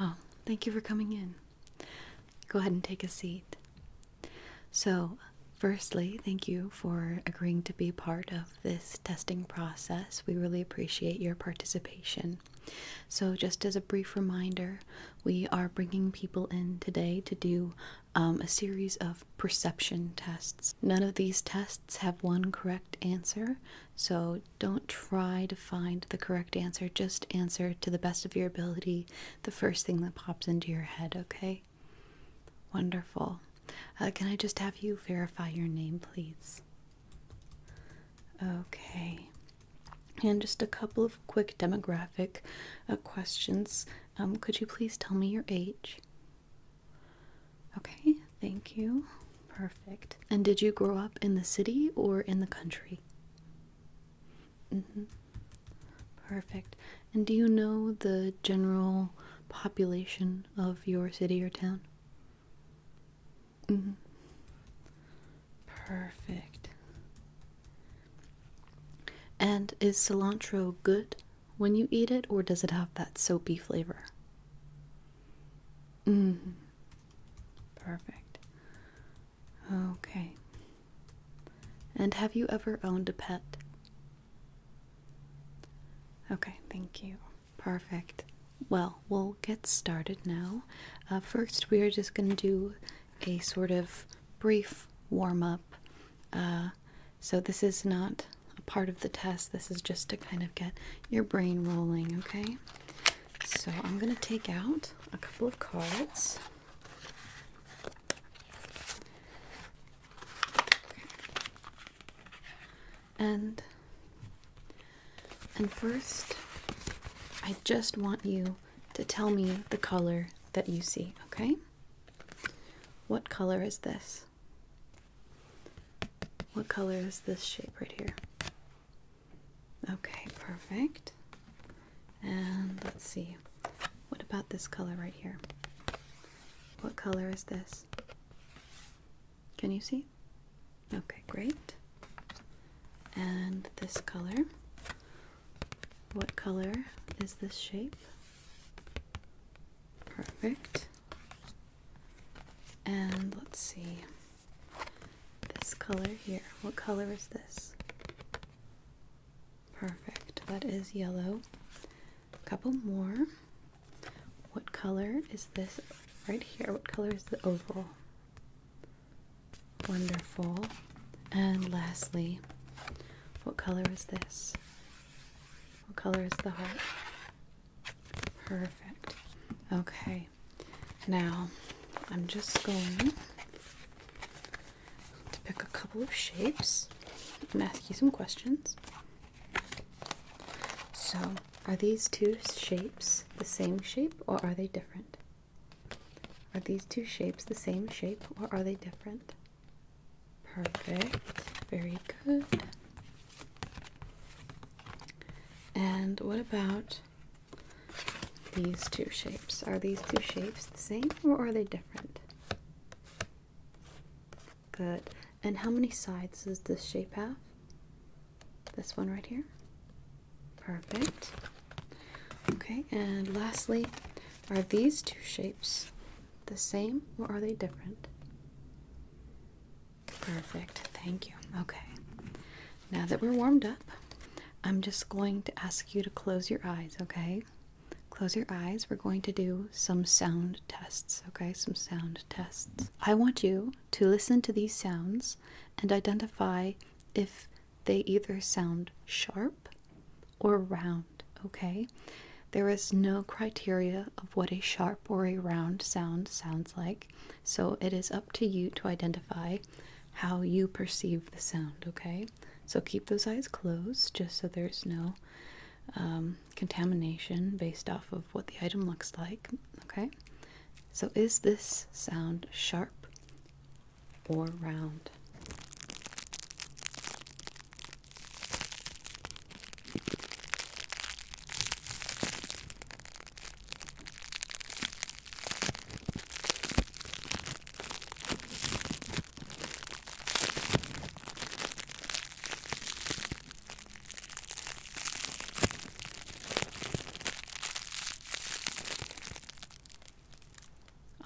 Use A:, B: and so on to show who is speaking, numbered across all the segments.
A: Oh, thank you for coming in. Go ahead and take a seat. So, firstly, thank you for agreeing to be part of this testing process. We really appreciate your participation. So, just as a brief reminder, we are bringing people in today to do um, a series of perception tests. None of these tests have one correct answer, so don't try to find the correct answer. Just answer to the best of your ability the first thing that pops into your head, okay? Wonderful. Uh, can I just have you verify your name, please? Okay. And just a couple of quick demographic uh, questions. Um, could you please tell me your age? Okay, thank you. Perfect. And did you grow up in the city or in the country? Mm-hmm. Perfect. And do you know the general population of your city or town? Mm-hmm. Perfect. And is cilantro good when you eat it, or does it have that soapy flavor? Mm. Perfect. Okay. And have you ever owned a pet? Okay, thank you. Perfect. Well, we'll get started now. Uh, first, we are just going to do a sort of brief warm up. Uh, so, this is not a part of the test, this is just to kind of get your brain rolling, okay? So, I'm going to take out a couple of cards. And and first, I just want you to tell me the color that you see, okay? What color is this? What color is this shape right here? Okay, perfect. And let's see. What about this color right here? What color is this? Can you see? Okay, great. And this color. What color is this shape? Perfect. And let's see this color here. What color is this? Perfect. That is yellow. A couple more. What color is this right here? What color is the oval? Wonderful. And lastly, what color is this? What color is the heart? Perfect. Okay. Now I'm just going to pick a couple of shapes and ask you some questions. So, are these two shapes the same shape or are they different? Are these two shapes the same shape or are they different? Perfect. Very good. And what about these two shapes? Are these two shapes the same or are they different? Good. And how many sides does this shape have? This one right here? Perfect. Okay, and lastly, are these two shapes the same or are they different? Perfect, thank you. Okay, now that we're warmed up, I'm just going to ask you to close your eyes, okay? Close your eyes. We're going to do some sound tests, okay? Some sound tests. I want you to listen to these sounds and identify if they either sound sharp or round okay? There is no criteria of what a sharp or a round sound sounds like, so it is up to you to identify how you perceive the sound, okay? So keep those eyes closed just so there's no um, contamination based off of what the item looks like, okay? So is this sound sharp or round?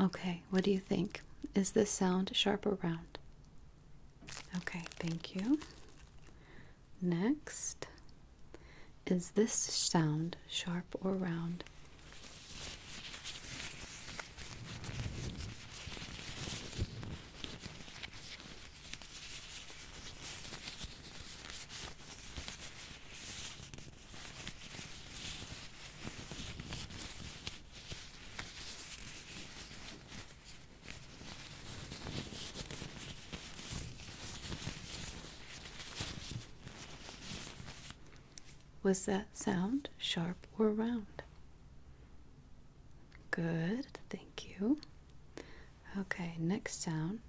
A: Okay, what do you think? Is this sound sharp or round? Okay, thank you. Next, is this sound sharp or round? Was that sound sharp or round? Good, thank you. Okay, next sound.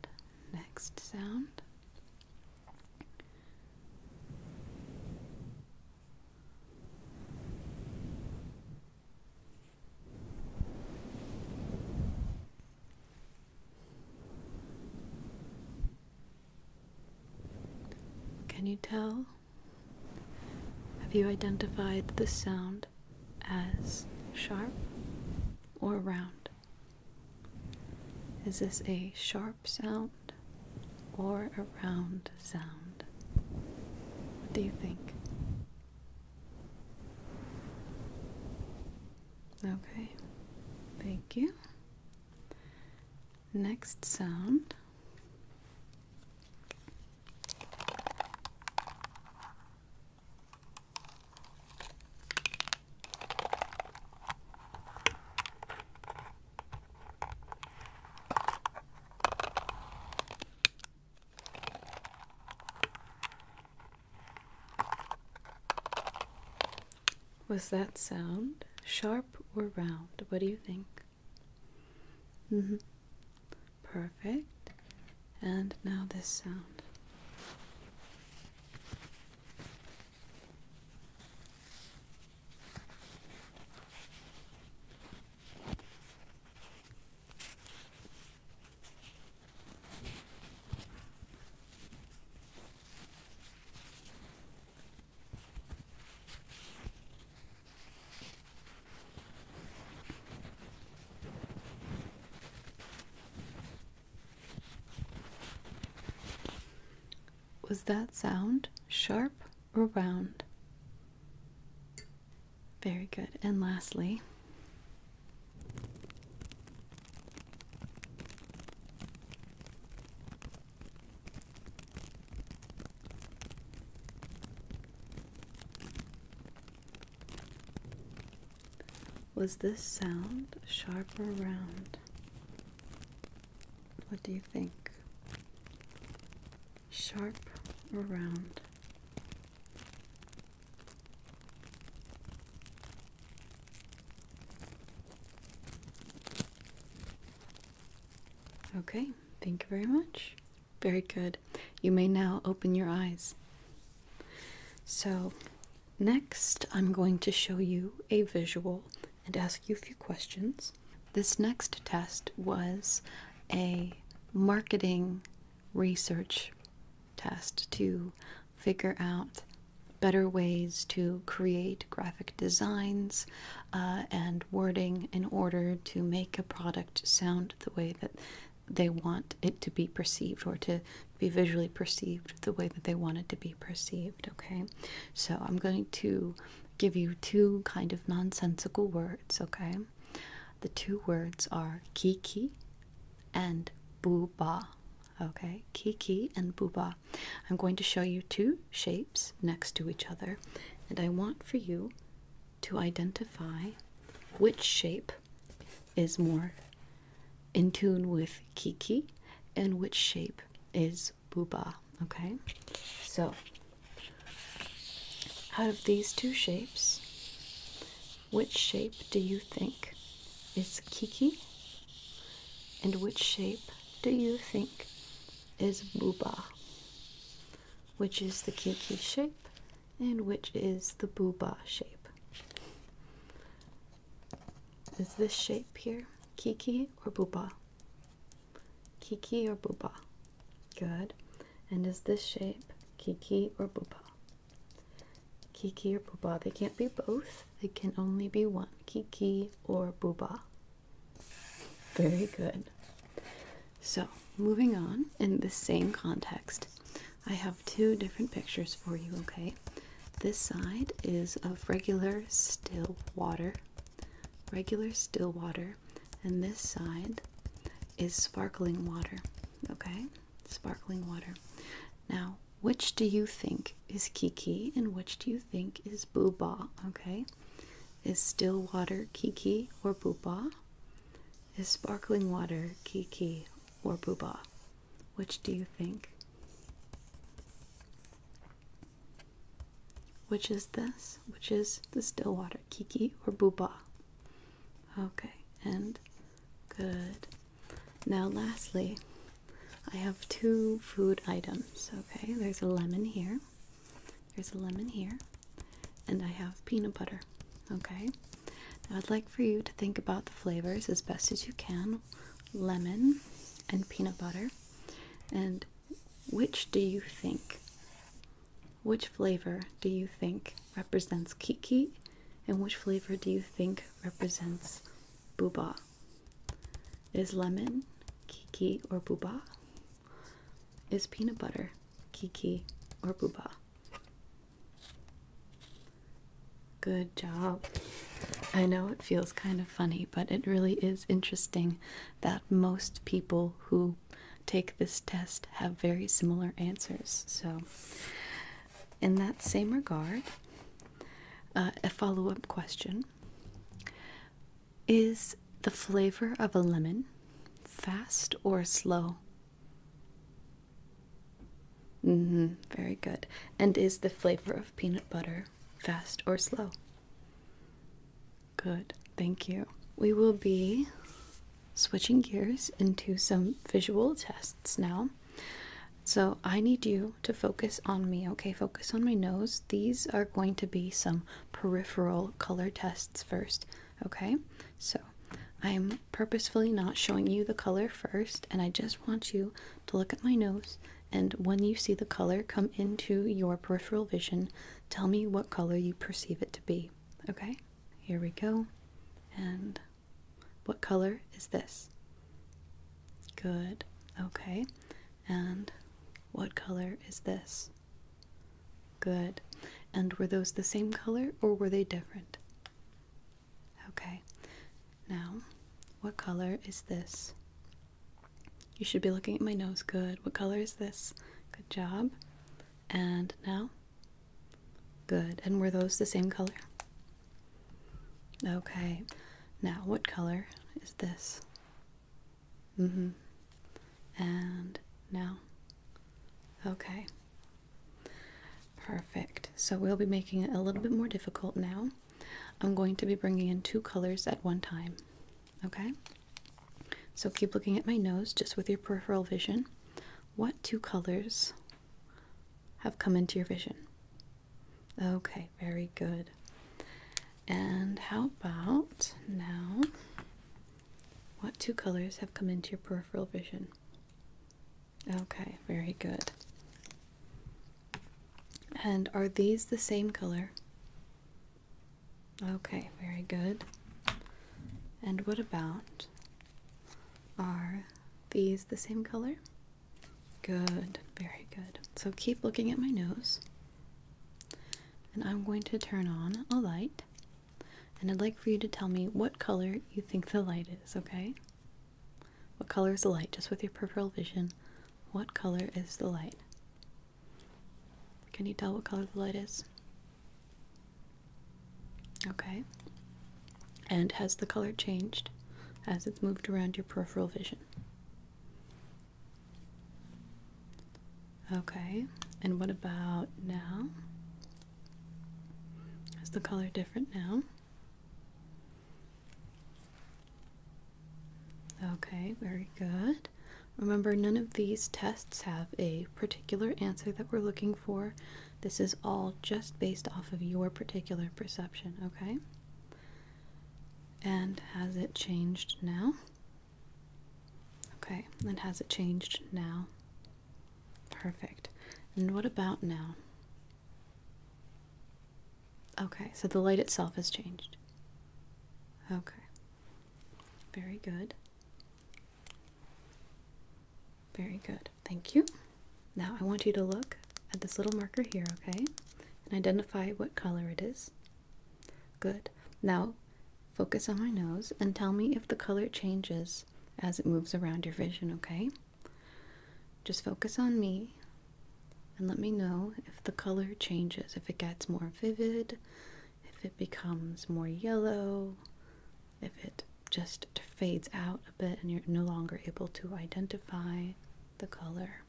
A: Next sound. Can you tell? Have you identified the sound as sharp or round? Is this a sharp sound or a round sound. What do you think? Okay, thank you. Next sound. Was that sound sharp or round? What do you think? hmm. Perfect. And now this sound. Was that sound sharp round? Very good. And lastly, was this sound sharp or round? What do you think? sharp or round. Okay, thank you very much. Very good. You may now open your eyes. So, next I'm going to show you a visual and ask you a few questions. This next test was a marketing research test to figure out better ways to create graphic designs uh, and wording in order to make a product sound the way that they want it to be perceived or to be visually perceived the way that they want it to be perceived. Okay, so I'm going to give you two kind of nonsensical words, okay? The two words are kiki and booba. Okay, kiki and booba. I'm going to show you two shapes next to each other, and I want for you to identify which shape is more in tune with kiki and which shape is booba okay? So, out of these two shapes, which shape do you think is Kiki? And which shape do you think is Booba? Which is the Kiki shape and which is the Booba shape? Is this shape here Kiki or Booba? Kiki or Booba? Good. And is this shape Kiki or Booba? Kiki or Booba. They can't be both. They can only be one. Kiki or Booba. Very good. So, moving on in the same context, I have two different pictures for you, okay? This side is of regular still water. Regular still water and this side is sparkling water. Okay, sparkling water. Now, which do you think is Kiki and which do you think is Booba? Okay, is still water Kiki or Booba? Is sparkling water Kiki or Booba? Which do you think? which is this, which is the Stillwater kiki or booba. Okay, and good. Now, lastly, I have two food items. Okay, there's a lemon here, there's a lemon here, and I have peanut butter. Okay, I'd like for you to think about the flavors as best as you can lemon and peanut butter. And which do you think? Which flavor do you think represents Kiki? And which flavor do you think represents Bubba? Is lemon Kiki or Bubba? Is peanut butter Kiki or Bubba? Good job. I know it feels kind of funny, but it really is interesting that most people who take this test have very similar answers. So, in that same regard, uh, a follow up question Is the flavor of a lemon fast or slow? Mm-hmm, very good. And is the flavor of peanut butter fast or slow? Good, thank you. We will be switching gears into some visual tests now. So I need you to focus on me, okay? Focus on my nose. These are going to be some peripheral color tests first, okay? So I'm purposefully not showing you the color first, and I just want you to look at my nose. And when you see the color come into your peripheral vision, tell me what color you perceive it to be. Okay, here we go. And what color is this? Good. Okay. And what color is this? Good. And were those the same color or were they different? Okay. Now, what color is this? You should be looking at my nose. Good. What color is this? Good job. And now? Good. And were those the same color? Okay. Now, what color is this? Mm hmm. And now? Okay. Perfect. So we'll be making it a little bit more difficult now. I'm going to be bringing in two colors at one time. Okay? So keep looking at my nose just with your peripheral vision. What two colors have come into your vision? Okay, very good. And how about now? What two colors have come into your peripheral vision? Okay, very good. And are these the same color? Okay, very good. And what about? Are these the same color? Good, very good. So keep looking at my nose. And I'm going to turn on a light. And I'd like for you to tell me what color you think the light is, okay? What color is the light? Just with your peripheral vision, what color is the light? Can you tell what color the light is? Okay. And has the color changed as it's moved around your peripheral vision? Okay. And what about now? Is the color different now? Okay, very good. Remember, none of these tests have a particular answer that we're looking for. This is all just based off of your particular perception, okay? And has it changed now? Okay, and has it changed now? Perfect. And what about now? Okay, so the light itself has changed. Okay. Very good. Very good. Thank you. Now I want you to look at this little marker here, okay? And identify what color it is. Good. Now focus on my nose and tell me if the color changes as it moves around your vision, okay? Just focus on me and let me know if the color changes, if it gets more vivid, if it becomes more yellow, if it just fades out a bit and you're no longer able to identify the color.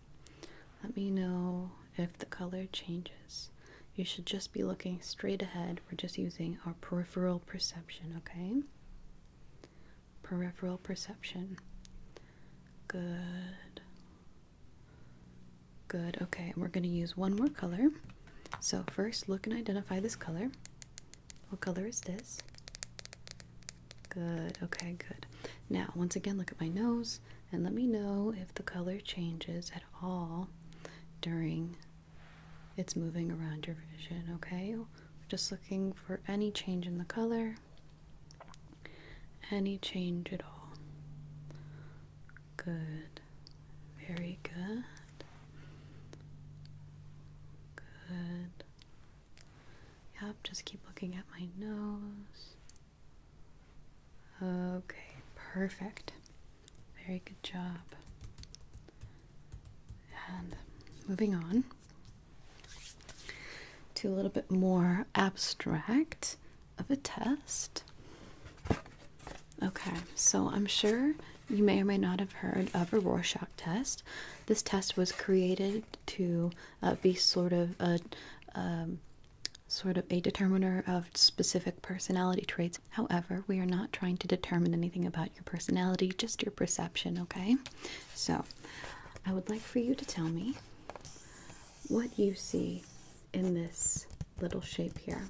A: Let me know if the color changes. You should just be looking straight ahead. We're just using our peripheral perception, okay? Peripheral perception. Good. Good, okay, we're gonna use one more color. So first look and identify this color. What color is this? Good, okay, good. Now, once again, look at my nose and let me know if the color changes at all during it's moving around your vision, okay? just looking for any change in the color. Any change at all? Good. Very good. Good. Yep, just keep looking at my nose. Okay, perfect. Very good job. And moving on to a little bit more abstract of a test. Okay, so I'm sure you may or may not have heard of a Rorschach test. This test was created to uh, be sort of a um, sort of a determiner of specific personality traits. However, we are not trying to determine anything about your personality, just your perception, okay? So, I would like for you to tell me what you see in this little shape here,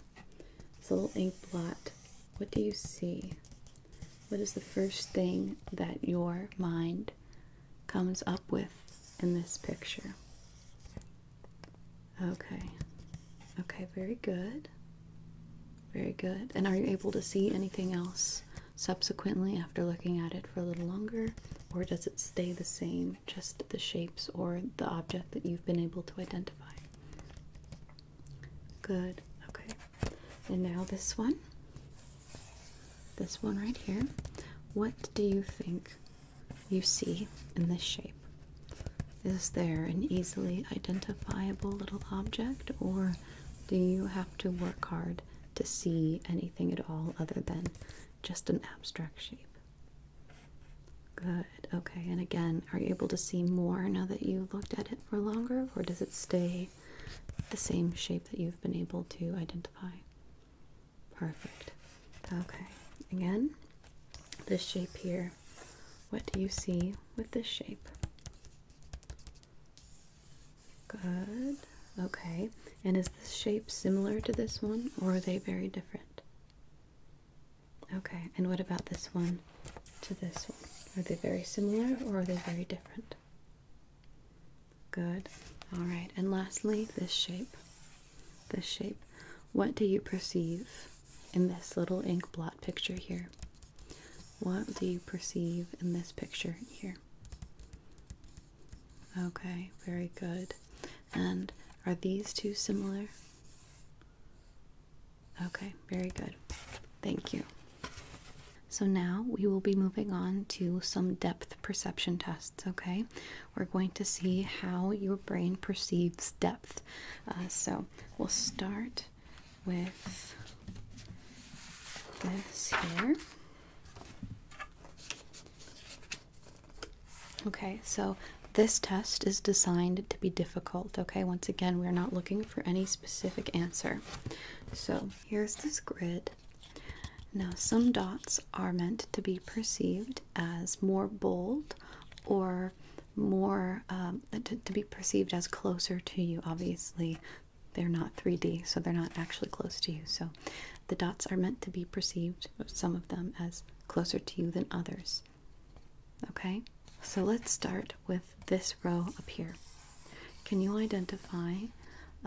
A: this little ink blot, what do you see? What is the first thing that your mind comes up with in this picture? Okay. Okay, very good. Very good. And are you able to see anything else subsequently after looking at it for a little longer? Or does it stay the same just the shapes or the object that you've been able to identify. Good, okay. And now this one. This one right here. What do you think you see in this shape? Is there an easily identifiable little object, or do you have to work hard to see anything at all other than just an abstract shape. Good. Okay, and again, are you able to see more now that you have looked at it for longer, or does it stay the same shape that you've been able to identify? Perfect. Okay, again, this shape here. What do you see with this shape? Good. Okay, and is this shape similar to this one, or are they very different? Okay, and what about this one to this one? Are they very similar, or are they very different? Good. All right, and lastly, this shape. This shape. What do you perceive in this little ink blot picture here? What do you perceive in this picture here? Okay, very good. And are these two similar? Okay, very good. Thank you. So now we will be moving on to some depth perception tests, okay? We're going to see how your brain perceives depth. Uh, so we'll start with this here. Okay, so this test is designed to be difficult. Okay, once again, we're not looking for any specific answer. So here's this grid. Now, some dots are meant to be perceived as more bold or more um, uh, to be perceived as closer to you. Obviously, they're not 3D, so they're not actually close to you. So the dots are meant to be perceived, some of them, as closer to you than others. Okay, so let's start with this row up here. Can you identify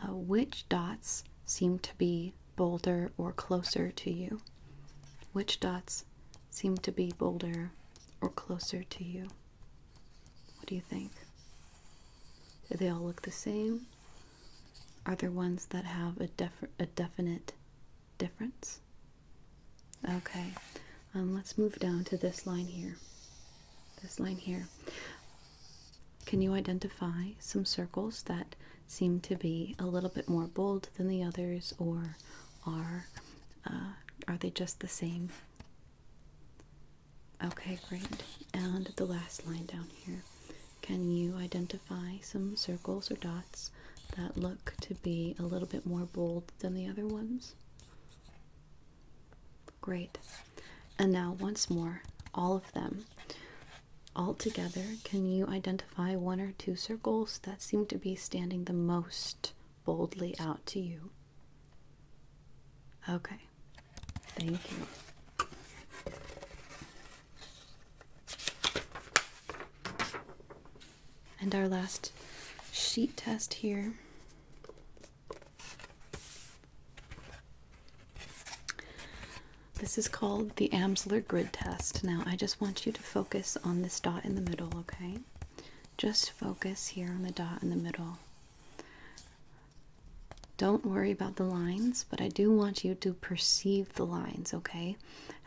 A: uh, which dots seem to be bolder or closer to you? Which dots seem to be bolder or closer to you? What do you think? Do they all look the same? Are there ones that have a, def a definite difference? Okay, um, let's move down to this line here. This line here. Can you identify some circles that seem to be a little bit more bold than the others, or are uh, are they just the same? Okay, great. And the last line down here. Can you identify some circles or dots that look to be a little bit more bold than the other ones? Great. And now, once more, all of them. All together, can you identify one or two circles that seem to be standing the most boldly out to you? Okay, Thank you. And our last sheet test here. This is called the Amsler grid test. Now, I just want you to focus on this dot in the middle, okay? Just focus here on the dot in the middle. Don't worry about the lines, but I do want you to perceive the lines, okay?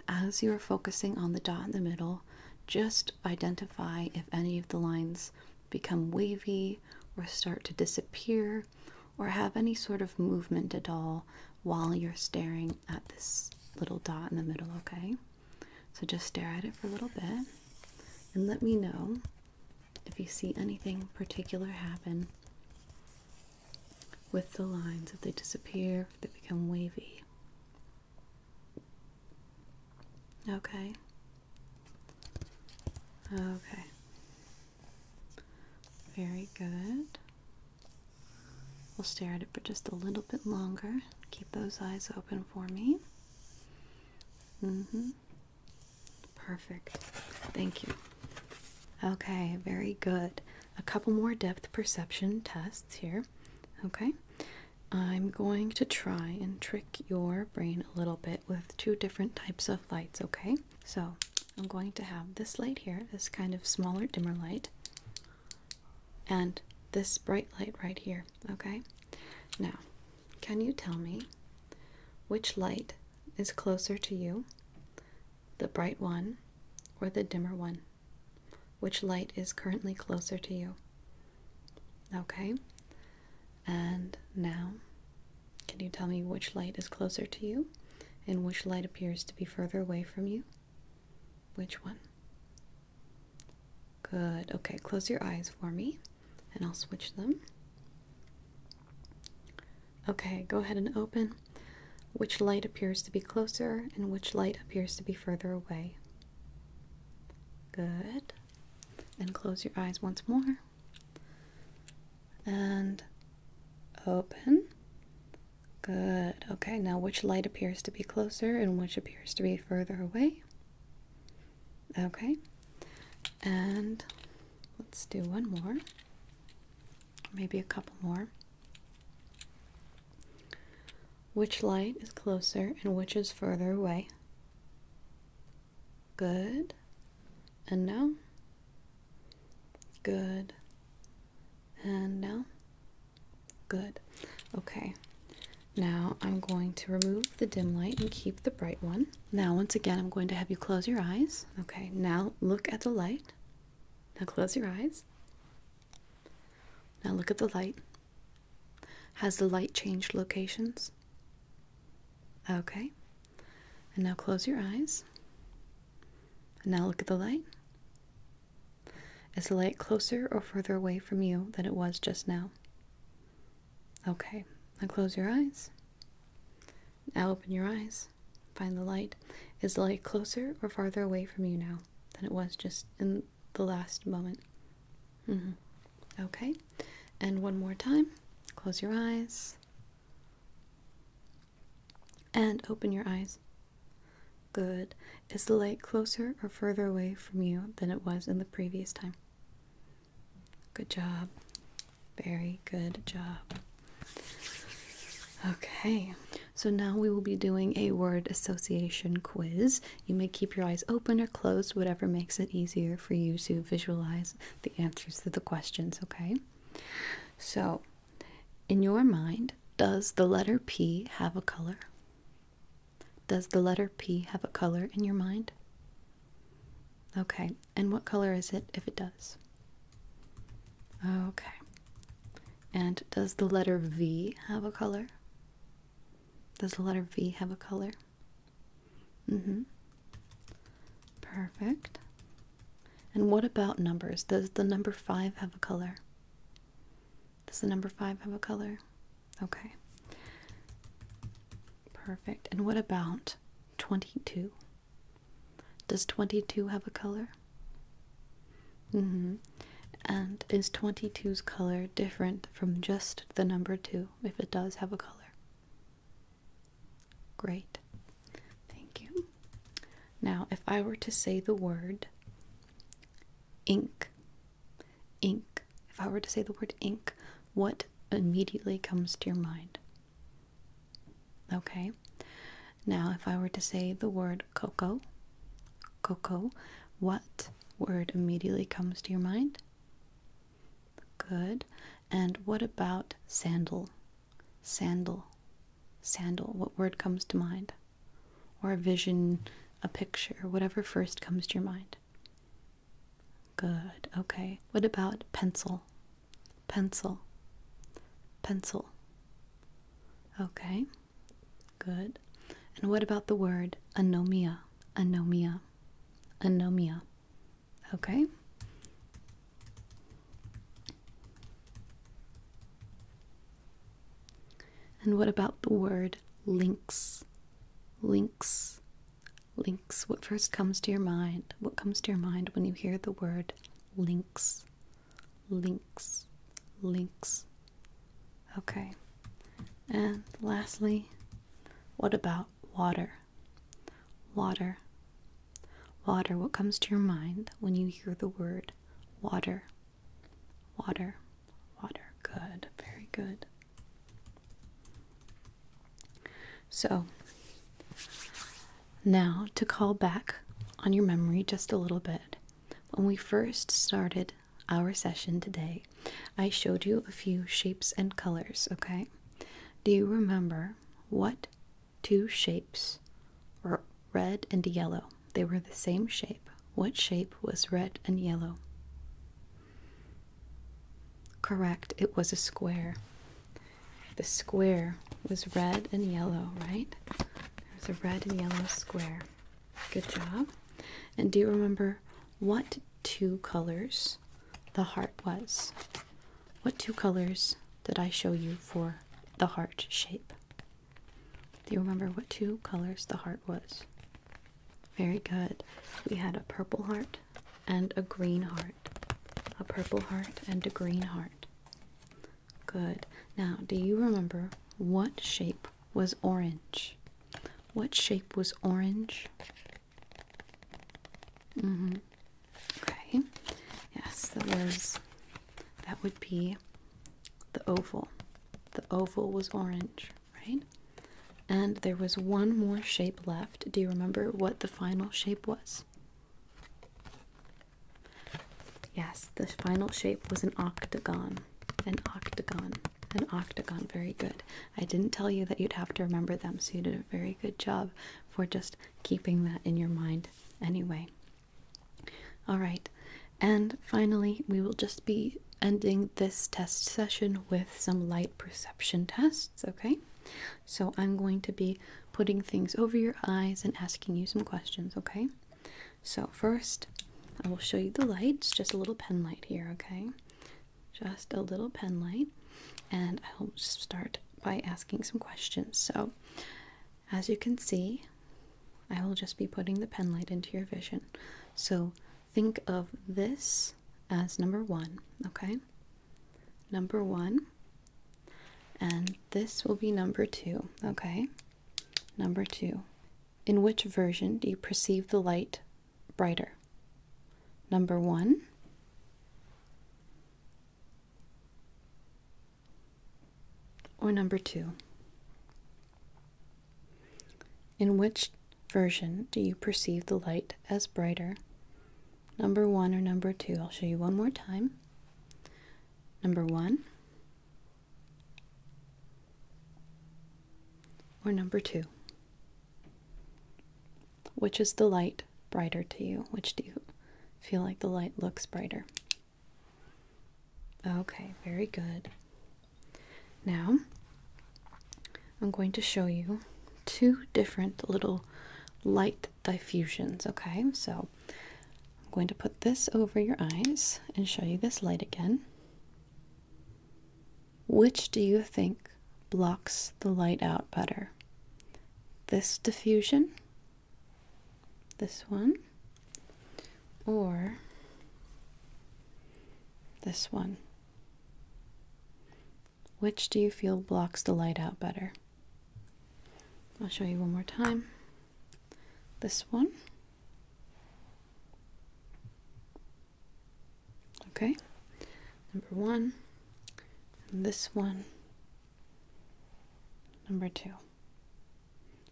A: As you're focusing on the dot in the middle, just identify if any of the lines become wavy or start to disappear or have any sort of movement at all while you're staring at this little dot in the middle, okay? So just stare at it for a little bit and let me know if you see anything particular happen with the lines, if they disappear, if they become wavy. Okay. Okay. Very good. We'll stare at it for just a little bit longer. Keep those eyes open for me. Mm hmm. Perfect. Thank you. Okay, very good. A couple more depth perception tests here. Okay, I'm going to try and trick your brain a little bit with two different types of lights. Okay, so I'm going to have this light here, this kind of smaller, dimmer light, and this bright light right here. Okay, now can you tell me which light is closer to you, the bright one or the dimmer one? Which light is currently closer to you? Okay. And now, can you tell me which light is closer to you and which light appears to be further away from you? Which one? Good. Okay, close your eyes for me and I'll switch them. Okay, go ahead and open. Which light appears to be closer and which light appears to be further away? Good. And close your eyes once more. And open. Good. Okay, now which light appears to be closer and which appears to be further away? Okay. And Let's do one more, maybe a couple more. Which light is closer and which is further away? Good. And now? Good. And now? Good. Okay. Now I'm going to remove the dim light and keep the bright one. Now, once again, I'm going to have you close your eyes. Okay, now look at the light. Now close your eyes. Now look at the light. Has the light changed locations? Okay. And now close your eyes. now look at the light. Is the light closer or further away from you than it was just now? Okay. Now close your eyes. Now open your eyes. Find the light. Is the light closer or farther away from you now than it was just in the last moment? Mm-hmm. Okay. And one more time. Close your eyes. And open your eyes. Good. Is the light closer or further away from you than it was in the previous time? Good job. Very good job. Okay, so now we will be doing a word association quiz. You may keep your eyes open or closed, whatever makes it easier for you to visualize the answers to the questions, okay? So, in your mind, does the letter P have a color? Does the letter P have a color in your mind? Okay, and what color is it if it does? Okay. And does the letter V have a color? Does the letter V have a color? Mm-hmm. Perfect. And what about numbers? Does the number 5 have a color? Does the number 5 have a color? Okay. Perfect. And what about 22. Does 22 have a color? Mm hmm. And is 22's color different from just the number 2 if it does have a color? Great. Thank you. Now, if I were to say the word ink, ink, if I were to say the word ink, what immediately comes to your mind? Okay, now if I were to say the word cocoa, cocoa, what word immediately comes to your mind? Good. And what about sandal? Sandal, sandal, what word comes to mind? Or a vision, a picture, whatever first comes to your mind. Good, okay. What about pencil? pencil, pencil. Okay, good. And what about the word anomia? Anomia, anomia. Okay. And what about the word links? Links, Links. What first comes to your mind? What comes to your mind when you hear the word links? Links. Links. Okay. And lastly, what about water? Water. Water. What comes to your mind when you hear the word water? Water. Water. Good. Very good. So, now to call back on your memory just a little bit. When we first started our session today, I showed you a few shapes and colors, okay? Do you remember what two shapes were red and yellow? They were the same shape. What shape was red and yellow? Correct, it was a square. The square was red and yellow, right? was a red and yellow square. Good job. And do you remember what two colors the heart was? What two colors did I show you for the heart shape? Do you remember what two colors the heart was? Very good. We had a purple heart and a green heart. A purple heart and a green heart. Good. Now, do you remember what shape was orange? What shape was orange? Mm-hmm. Okay. Yes, that was that would be the oval. The oval was orange, right? And there was one more shape left. Do you remember what the final shape was? Yes, the final shape was an octagon. An octagon. An octagon. Very good. I didn't tell you that you'd have to remember them, so you did a very good job for just keeping that in your mind anyway. All right. And finally, we will just be ending this test session with some light perception tests, okay? So I'm going to be putting things over your eyes and asking you some questions, okay? So first, I will show you the lights, just a little pen light here, okay? Just a little pen light, and I'll start by asking some questions. So, as you can see, I will just be putting the pen light into your vision. So, think of this as number one, okay? Number one, and this will be number two, okay? Number two. In which version do you perceive the light brighter? Number one. Or number two? In which version do you perceive the light as brighter number one or number two. I'll show you one more time. Number one or number two. Which is the light brighter to you? Which do you feel like the light looks brighter? Okay, very good. Now, I'm going to show you two different little light diffusions, okay? So I'm going to put this over your eyes and show you this light again. Which do you think blocks the light out better? This diffusion? This one? Or this one? Which do you feel blocks the light out better? I'll show you one more time. This one. Okay, number one, and this one, number two.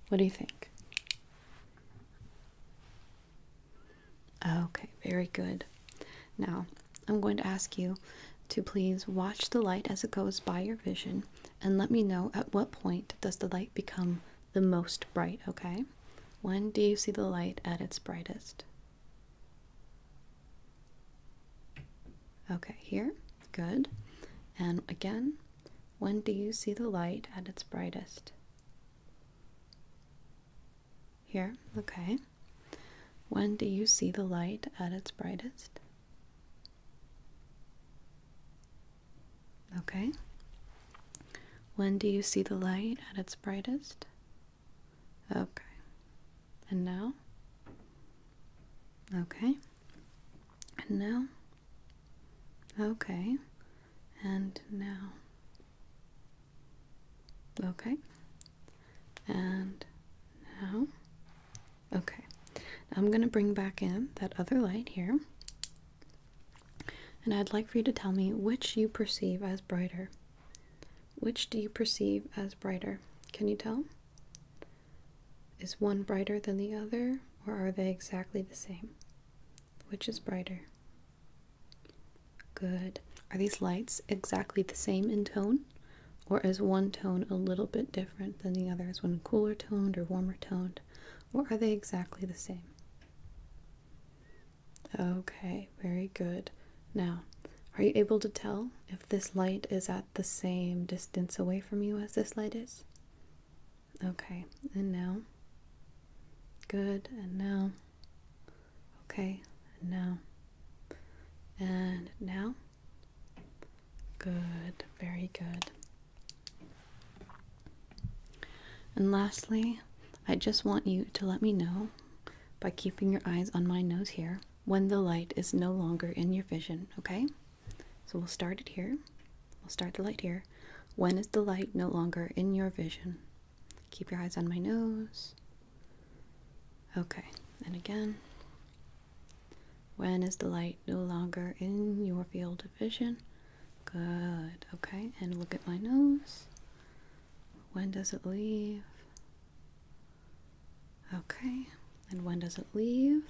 A: What do you think? Okay, very good. Now, I'm going to ask you to please watch the light as it goes by your vision and let me know at what point does the light become the most bright, okay? When do you see the light at its brightest? Okay, here. Good. And again, when do you see the light at its brightest? Here, okay. When do you see the light at its brightest? Okay. When do you see the light at its brightest? Okay. And now? Okay. And now? Okay. And now? Okay. And now, okay. I'm going to bring back in that other light here. And I'd like for you to tell me which you perceive as brighter. Which do you perceive as brighter? Can you tell? Is one brighter than the other, or are they exactly the same? Which is brighter? Good. Are these lights exactly the same in tone? Or is one tone a little bit different than the others? one cooler toned or warmer toned? Or are they exactly the same? Okay, very good. Now, are you able to tell if this light is at the same distance away from you as this light is? Okay, and now. Good, and now. Okay, and now. And now. Good, very good. And lastly, I just want you to let me know by keeping your eyes on my nose here when the light is no longer in your vision, okay? So we'll start it here. We'll start the light here. When is the light no longer in your vision? Keep your eyes on my nose. Okay, and again. When is the light no longer in your field of vision? Good. Okay, and look at my nose. When does it leave? Okay, and when does it leave?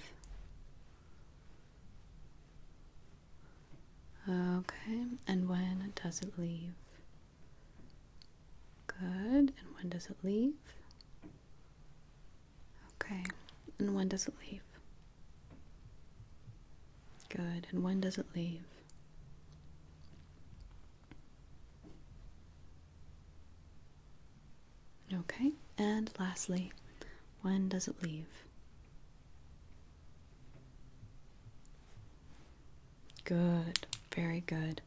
A: Okay, and when does it leave? Good. And when does it leave? Okay. And when does it leave? Good. And when does it leave? Okay. And lastly, when does it leave? Good, very good.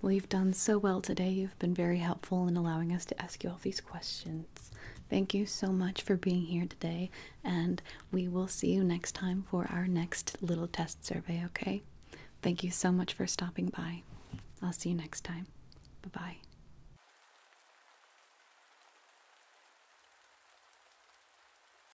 A: Well, you've done so well today. You've been very helpful in allowing us to ask you all these questions. Thank you so much for being here today, and we will see you next time for our next little test survey, okay? Thank you so much for stopping by. I'll see you next time. Bye bye.